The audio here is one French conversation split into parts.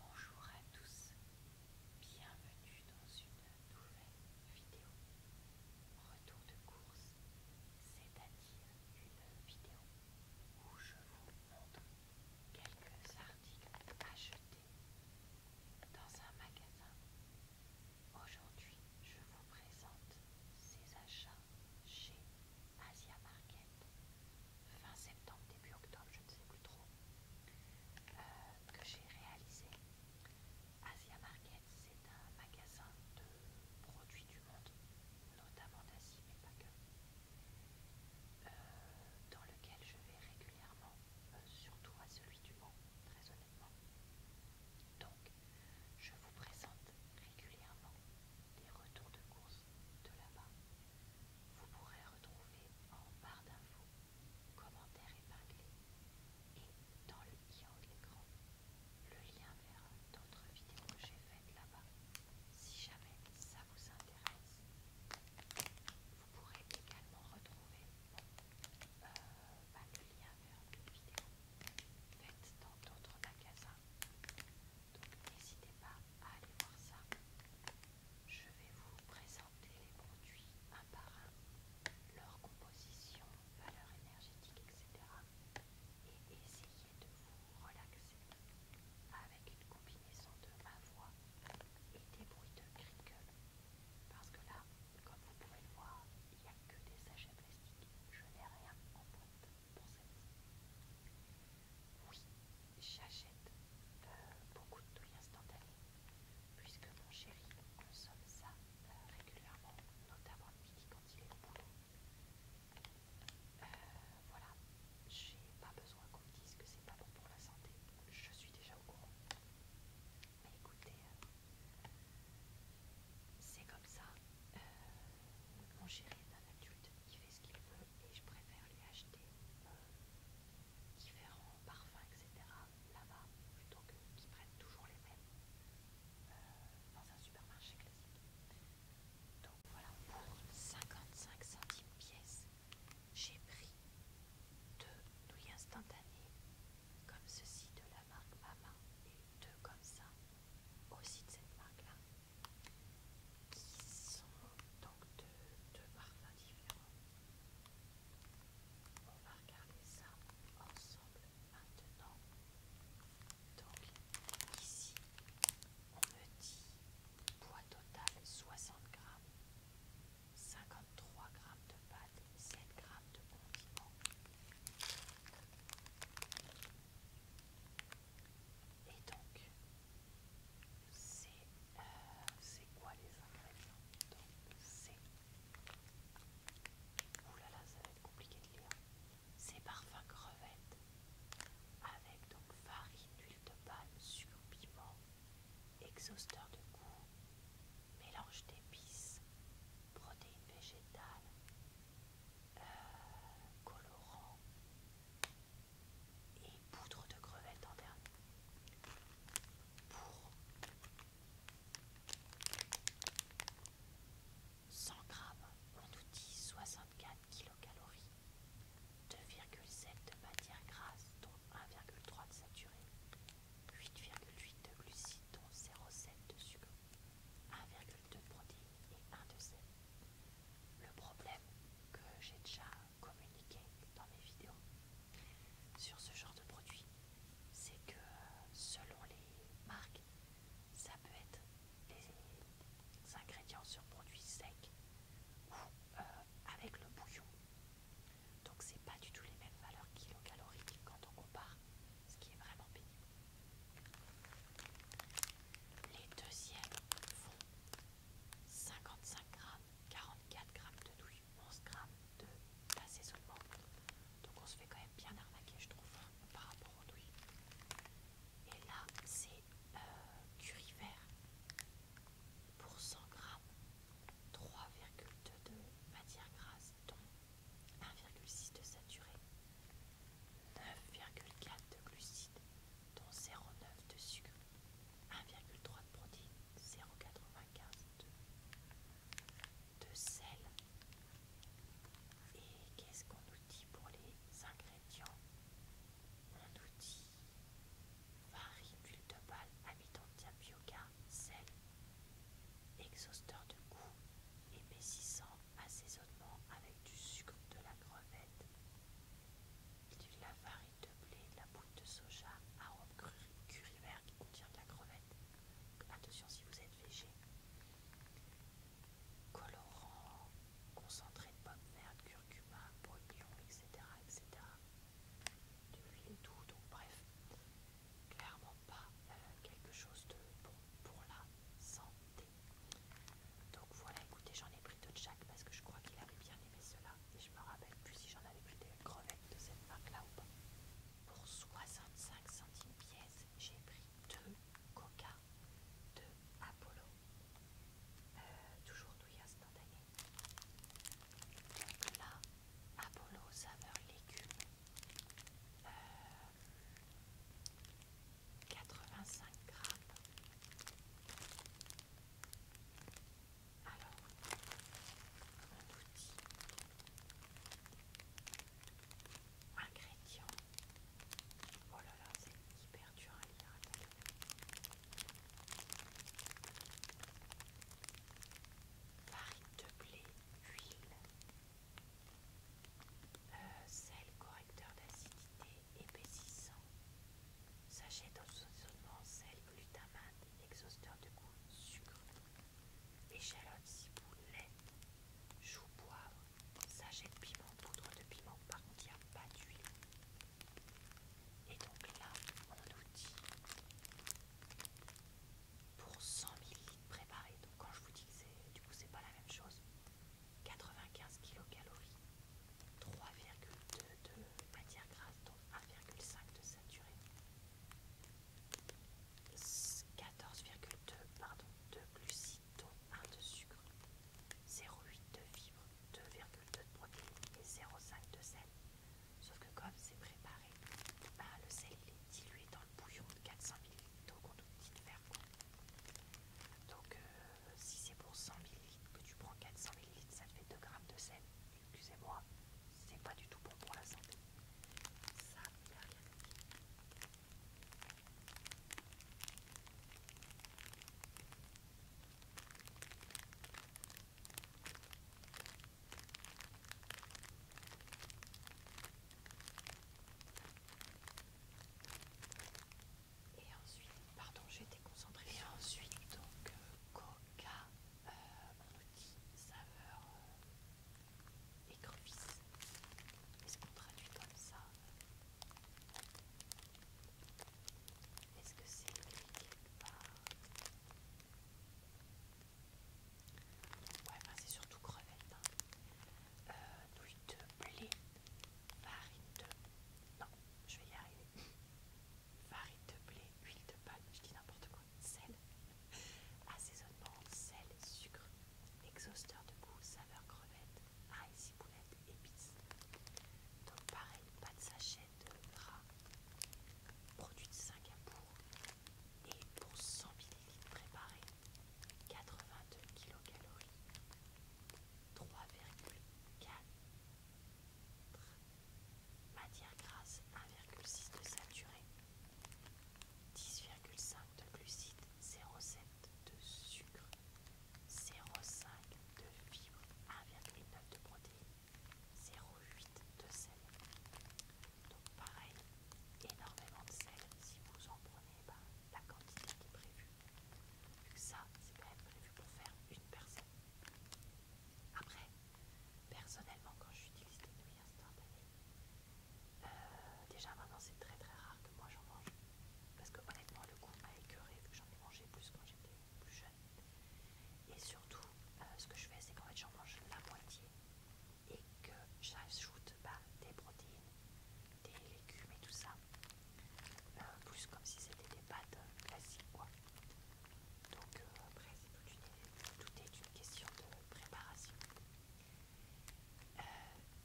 Bonjour à tous, bienvenue dans une nouvelle vidéo. Retour de course, c'est-à-dire une vidéo où je vous montre quelques articles achetés dans un magasin. Aujourd'hui, je vous présente ces achats chez Asia Market fin septembre, début octobre, je ne sais plus trop, euh, que j'ai réalisé. Asia Market, c'est un magasin de produits du monde, notamment d'Asie, mais pas que, euh, dans lequel je vais régulièrement, euh, surtout à celui du monde, très honnêtement. Donc, je vous présente régulièrement des retours de courses de là-bas. Vous pourrez retrouver en barre d'infos, commentaires épinglés et dans le lien le lien vers d'autres vidéos que j'ai faites là-bas. Si jamais ça vous intéresse, vous pourrez également retrouver euh, bah, le lien vers une vidéo faites dans d'autres magasins n'hésitez pas à aller voir ça. Je vais vous présenter les produits un par un, leur composition, valeur énergétique, etc. Et essayer de vous relaxer avec une combinaison de ma voix et des bruits de crinkle. Parce que là, comme vous pouvez le voir, il n'y a que des sachets plastiques. Je n'ai rien en boîte pour cette. Oui, j'achète euh, beaucoup de douilles instantanés puisque mon chéri consomme ça euh, régulièrement, notamment le midi quand il est au boulot. Euh, voilà, j'ai pas besoin qu'on me dise que c'est pas bon pour la santé, je suis déjà au courant. Mais écoutez, c'est comme ça. mon chéri est un adulte il fait ce qu'il veut et je préfère lui acheter différents parfums, etc. là-bas plutôt qu'ils prennent toujours les mêmes euh, dans un supermarché classique. Donc voilà, pour 55 centimes pièce, j'ai pris deux nouilles instantanées comme ceci de la marque Mama et deux comme ça aussi de cette marque là qui sont donc deux, parfums différents. On va regarder ça ensemble maintenant. Donc ici, on me dit poids total 60 grammes, 53 g de pâte, 7 grammes de condiments. Et donc, euh, c'est quoi les ingrédients Donc, c'est. Ouh ça va être compliqué de lire. C'est parfum crevette avec donc farine, huile de palme, sucre, piment, exhausteur de goût, mélange d'épices, protéines végétales, euh, colorants... colorant, et poudre de crevette en dernier pour 100 grammes, on nous dit 64 kcal, 2,7 de matière grasse, dont 1,3 de saturé, 8,8 de glucides, dont 0,7 de sucre, de produits et un de ces Le problème que j'ai déjà communiqué dans mes vidéos sur ce genre de produit, c'est que selon les marques, ça peut être des ingrédients sur produits secs ou euh, avec le bouillon. Donc c'est pas du tout les mêmes valeurs kilocaloriques quand on compare, ce qui est vraiment pénible. Les deuxièmes font 55 grammes, 44 grammes de douille, 11 grammes de d'assaisonnement. Donc on se fait quand même bien arnaquer, je trouve, hein, par rapport aux douilles. Et là, c'est euh, pour 100 grammes, 3,2 de matière grasse, dont 1,6 de saturé, 9,4 de glucides, dont 0,9 de sucre, 1,3 de protéines, 0,95 de, sel. Et qu'est-ce qu'on nous dit pour les ingrédients On nous dit farine, huile de balle, amidon de sel, exhausteur de goût, épaississant, assaisonnement avec du sucre de la crevette, de la farine de blé, de la poudre de soja, arôme curry vert qui contient de la crevette. Attention si vous êtes végé. Colorant, concentré de pommes vertes, curcuma, pognon, etc. etc. De l'huile doux, donc bref, clairement pas euh, quelque chose de bon pour la santé. Donc voilà, écoutez, j'en ai pris deux de chaque parce que je crois qu'il avait bien aimé cela. Et je me rappelle plus si j'en avais pris des crevettes de cette marque-là ou pas. Pour 65 centimes pièce, j'ai pris deux Coca de Apollo. Euh, toujours douille instantanée. Donc là, Apollo saveur légumes. Euh, 85 grammes. Alors, mon outil, ingrédients. Oh là là, c'est hyper dur à lire. Farine de blé, huile, euh, sel correcteur d'acidité épaississant, sachet d'assaisonnement sel glutamate, exhausteur de goût, sucre, échalote, vous lait, chou poivre, sachet de piment, poudre de piment, par contre il n'y a pas d'huile. Et donc là, on nous dit pour 100 ml préparé. Donc quand je vous dis que c'est du coup c'est pas la même chose, 95 kilocalories, 3,2 de matière grasse, dont 1,5 de saturé, 14,2 pardon, de glucides, dont 1 de sucre, 0,8 de fibres, 2,2 de protéines et 0,5 de sel. Sauf que comme c'est préparé, bah, le sel est dilué dans bouillon de 400 ml d'eau conductite vergon. Donc euh, si c'est pour 100 ml que tu prends 400 ml, ça te fait 2 g de sel. Excusez-moi, c'est pas du tout bon pour la santé. Ça, il n'y a rien à dire. Et ensuite, pardon, j'étais concentrée. Et ensuite, donc, euh, coca, euh, on saveur écrevisse. Euh, Est-ce qu'on traduit comme ça Est-ce que c'est quelque part Ouais, ben c'est surtout crevette. Hein huile de blé, farine de... Non, je vais y arriver. Farine de blé, huile de palme, je dis n'importe quoi, sel, assaisonnement, sel, sucre, exhausteur de goût, saveur crevette, riz ciboulette, épices. Donc pareil, pas de sachet de gras, produit de Singapour. Et pour 100 euros préparé 82 kcal 3,4 matière grasse 1,6 de saturé 10,5 de glucides 0,7 de sucre 0,5 de fibres 1,9 de protéines 0,8 de sel donc pareil, énormément de sel si vous en prenez ben, la quantité qui est prévue. Vu que ça, c'est quand même prévu pour faire une personne. Après, personnellement, quand j'utilise des nouilles instantanées, euh, déjà maintenant c'est très très rare que moi j'en mange. Parce que honnêtement, le goût m'a écœuré vu que j'en ai mangé plus quand j'étais plus jeune. Et surtout, euh, ce que je fais, c'est qu'en fait j'en mange la moitié et que j'ajoute bah, des protéines, des légumes et tout ça, euh, plus comme si c'était des pâtes euh, classiques quoi. Donc euh, après c'est tout, est une question de préparation.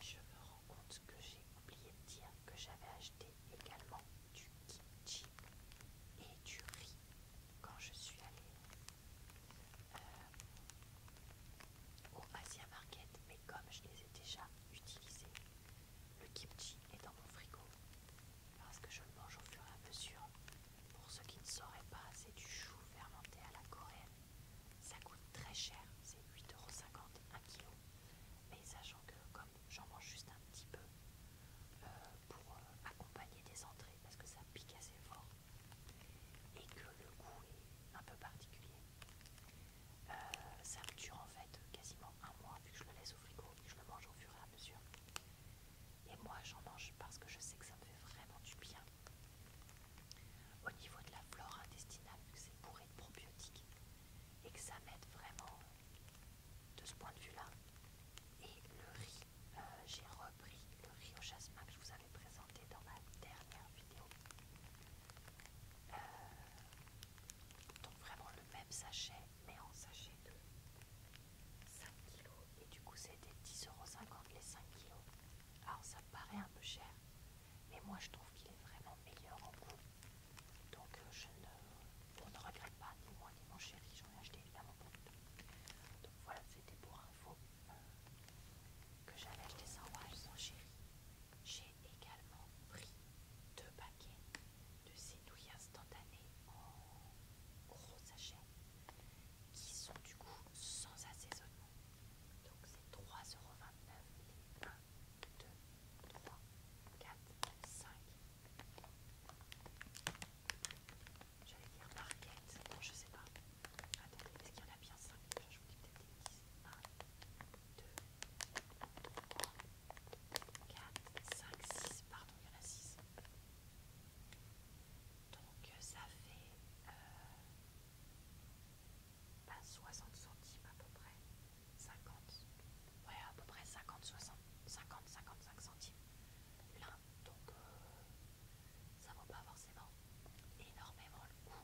je me rends compte que j'ai oublié de dire que j'avais acheté également du kimchi et du riz quand je suis allée euh, au Asia Market, mais comme je les ai déjà utilisés, le kimchi est dans mon frigo parce que je le mange au fur et à mesure. Pour ceux qui ne sauraient pas, c'est du chou fermenté à la coréenne. Ça coûte très cher, c'est 8,50€ un kilo. Mais sachant que comme j'en mange juste un petit peu euh, pour euh, accompagner des entrées parce que ça pique assez fort, et que le goût est un peu particulier. Euh, ça me dure en fait quasiment un mois vu que je le laisse au frigo et je le mange au fur et à mesure. Et moi j'en mange parce que je sais que ça me fait vraiment du bien. Au niveau de la flore intestinale, vu que c'est bourré de probiotiques et que ça m'aide vraiment de ce point de vue là. Et le riz, euh, j'ai repris le riz au jasmin que je vous présenté dans ma dernière vidéo. Euh, donc vraiment le même sachet, mais en sachet de 5 kg. Et du coup c'était 10,50€ les 5 kg. Alors ça paraît un peu cher, mais moi je trouve qu'il est vraiment meilleur en goût. Donc euh, je ne, on ne regrette pas, ni moi ni mon chéri, j'en ai acheté évidemment beaucoup Donc voilà, c'était pour info. Euh, que j'avais acheté sans Wild sans chéri. J'ai également pris deux paquets de ces instantanées en gros sachets qui sont du coup sans assaisonnement. Donc c'est 3,29€ 1, 2, 3, 4, 5. J'allais dire marquette je sais pas. Attendez, est-ce qu'il y en a bien 5 Je vous dis peut-être des 10. 1, 2, 3, 4, 5, 6. Pardon, il y en a 6. Donc ça fait 60 euh, bah, centimes à peu près. 50. Ouais, à peu près 50, 60, 50, 55 centimes. L'un, donc euh, ça vaut pas forcément énormément le coup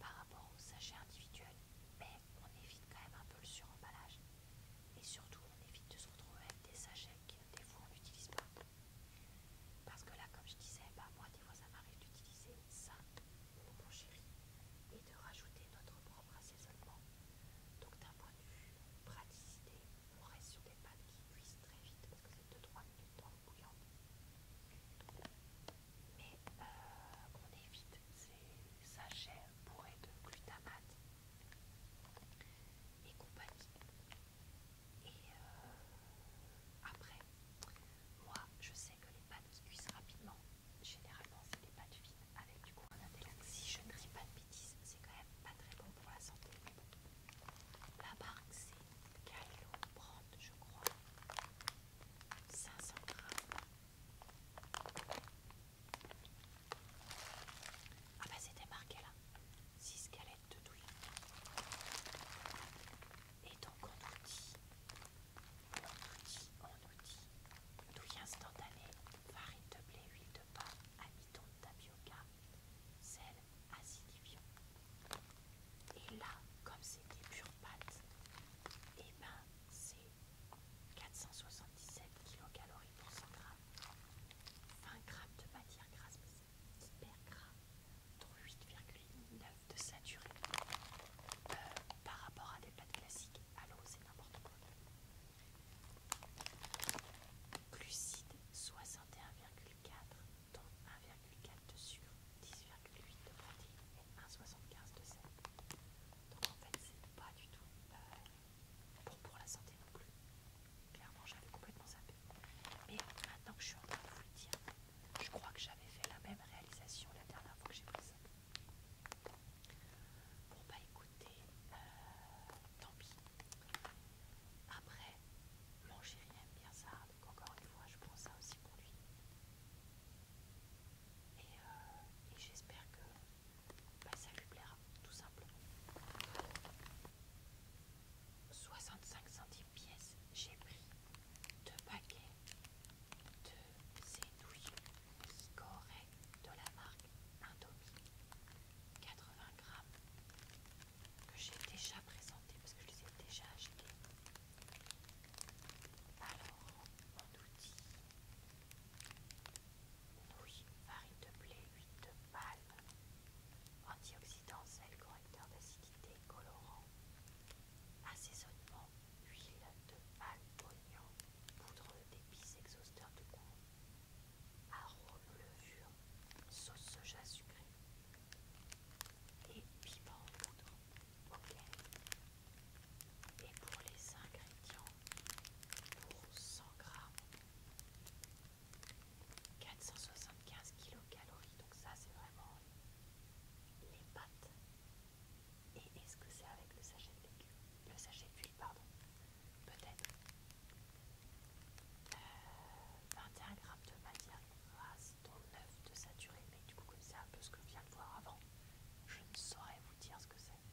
par rapport au sachet individuel, mais on évite quand même un peu le suremballage et surtout on évite de se retrouver avec des sachets que des fois on n'utilise pas. Parce que là, comme je disais, bah, moi des fois ça m'arrive d'utiliser ça pour mon chéri et de rajouter notre propre assaisonnement. Donc d'un point de vue praticité, on reste sur des pâtes qui cuisent très vite parce que c'est 2-3 minutes dans le bouillon. Mais euh, on évite ces sachets bourrés de glutamate et compagnie. Et euh, après, moi je sais que les pâtes cuisent rapidement, généralement c'est des pâtes fines avec du coin d'intellect. Si je ne dis pas de bêtises, c'est quand même pas très bon pour la santé. La marque c'est Gallo Brand, je crois. 500 grammes. Ah bah c'était marqué là. 6 galettes de douille. Et donc on nous dit, on nous dit, on nous dit, douille instantanée, farine de blé, huile de pain, amidon de tapioca, sel, acidifiant. Et là, comme c'est des pures pâtes, et eh ben c'est 477 kcal pour 100 g 20 g de matière grasse, mais c'est hyper gras, dont 8,9 de saturé. Euh, par rapport à des pâtes classiques, à l'eau, c'est n'importe quoi. Glucides 61,8 donc 1,4 de sucre, 10,8 de protéines et 1,75 de sel. Donc en fait, c'est pas du tout euh, bon pour la santé non plus. Clairement, j'avais complètement zappé. Mais maintenant que je suis en train de vous le dire, je crois que j'avais fait la même réalisation la dernière fois que j'ai pris ça. Pour pas bah, écouter euh, tant pis, après, mon chéri aime bien ça, donc encore une fois, je prends ça aussi pour lui. Et, euh, j'espère que bah, ça lui plaira, tout simplement. 65 centimes pièces, j'ai pris deux paquets de ces qui coréennes de la marque Indomie. 80 grammes que j'ai déjà présenté parce que je les ai déjà achetés. Alors, on nous dit nouilles, farine de blé, huile de palme, antioxydants, sel, correcteur d'acidité, colorant, assaisonnement, huile de palme, oignon, poudre d'épices, exhausteur de goût, arôme, levure, sauce soja sucrée et piment en poudre. Ok. Et pour les ingrédients, pour 100 grammes, 475 kilocalories. Donc ça, c'est vraiment les pâtes. Et est-ce que c'est avec le sachet de le sachet d'huile, pardon peut-être. 21 euh, g de matière grasse, dont 9 de saturé, mais du coup, comme c'est un peu ce que je viens de voir avant, je ne saurais vous dire ce que c'est.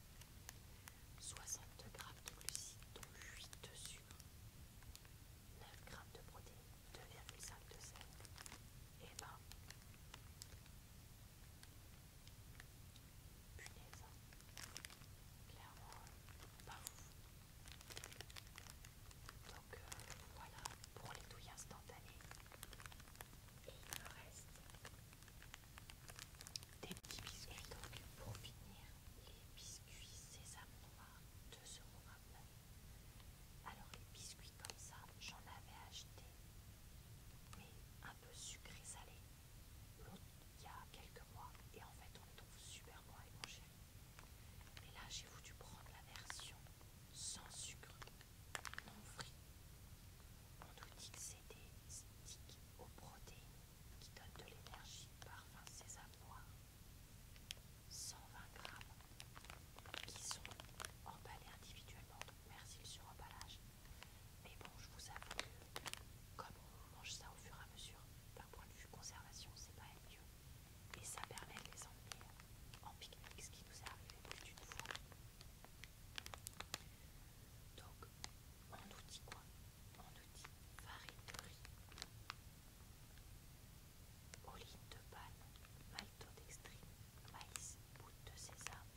62 g de glucides, dont 8 de sucre, 9 g de protéines, 2,5 de sel, et eh ben punaise, hein. clairement pas Donc euh, voilà pour les douilles instantanées. Et il me reste des petits biscuits. donc pour finir, les biscuits sésame noir, euros Alors les biscuits comme ça, j'en avais acheté, mais un peu sucré salé l'autre il y a quelques mois et en fait on le trouve super bon avec mon chéri. Mais là j'ai voulu prendre la version sans sucre, non frit. On nous dit que c'est des sticks aux protéines qui donnent de l'énergie, parfum sésame noir. 120 grammes qui sont emballés individuellement, donc merci le sur-emballage. Mais bon, je vous avoue que comme on mange ça au fur et à mesure, d'un point de vue conservation, c'est pas un mieux. Et ça permet de les emmener en pique ce qui nous est arrivé plus d'une fois. Donc, on nous dit quoi On nous dit farine de riz, Olive de panne, maltodextrine, maïs, goutte de sésame,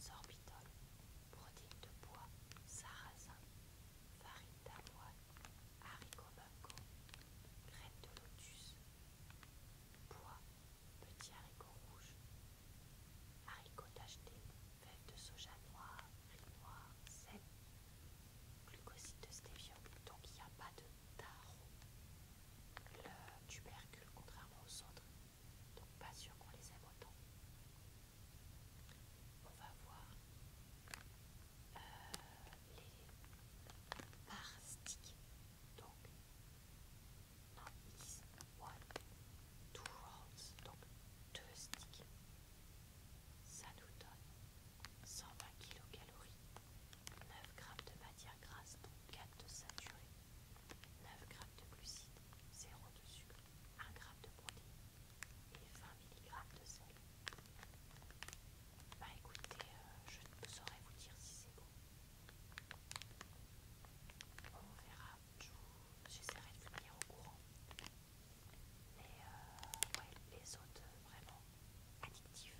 sorbitol, protéines de bois, sarrasin, farine d'avoine, haricots maquereaux, graines de lotus, bois, petits haricots rouges, haricots tachetés, fèves de soja noir, riz noir, sel, glucoside de stévia. donc il n'y a pas de tarot. Le tubercule, contrairement aux autres, donc pas sûr qu'on les aime autant on va voir euh, les par sticks, Donc, non, is one, two rolls, donc deux sticks. Ça nous donne 120 kcal, 9 g de matière grasse, donc 4 de saturé, 9 g de glucides, 0 de sucre. 1 g de produit et 20 mg de sel. Bah écoutez, euh, je ne saurais vous dire si c'est bon. On verra, j'essaierai de vous tenir au courant. Mais euh, ouais, les autres, euh, vraiment addictifs.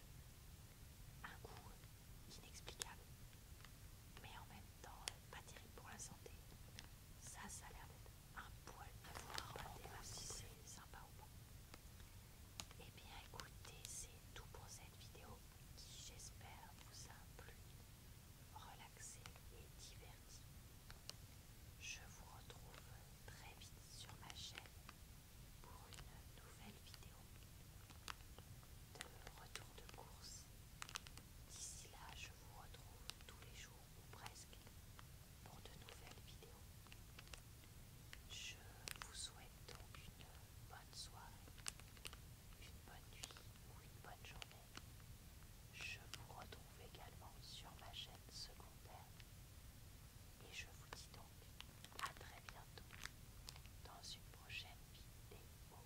Un goût inexplicable, mais en même temps pas terrible pour la santé. Ça, ça a l'air d'être un poil à voir si c'est sympa ou bon Et bien écoutez, c'est tout pour cette vidéo qui j'espère vous a plu, relaxé et diverti. Je vous retrouve très vite sur ma chaîne pour une nouvelle vidéo de retour de course. D'ici là, je vous retrouve tous les jours ou presque pour de nouvelles vidéos. Je vous souhaite donc une bonne soirée, une bonne nuit ou une bonne journée. Je vous retrouve également sur ma chaîne secondaire et je vous dis donc à très bientôt dans une prochaine vidéo.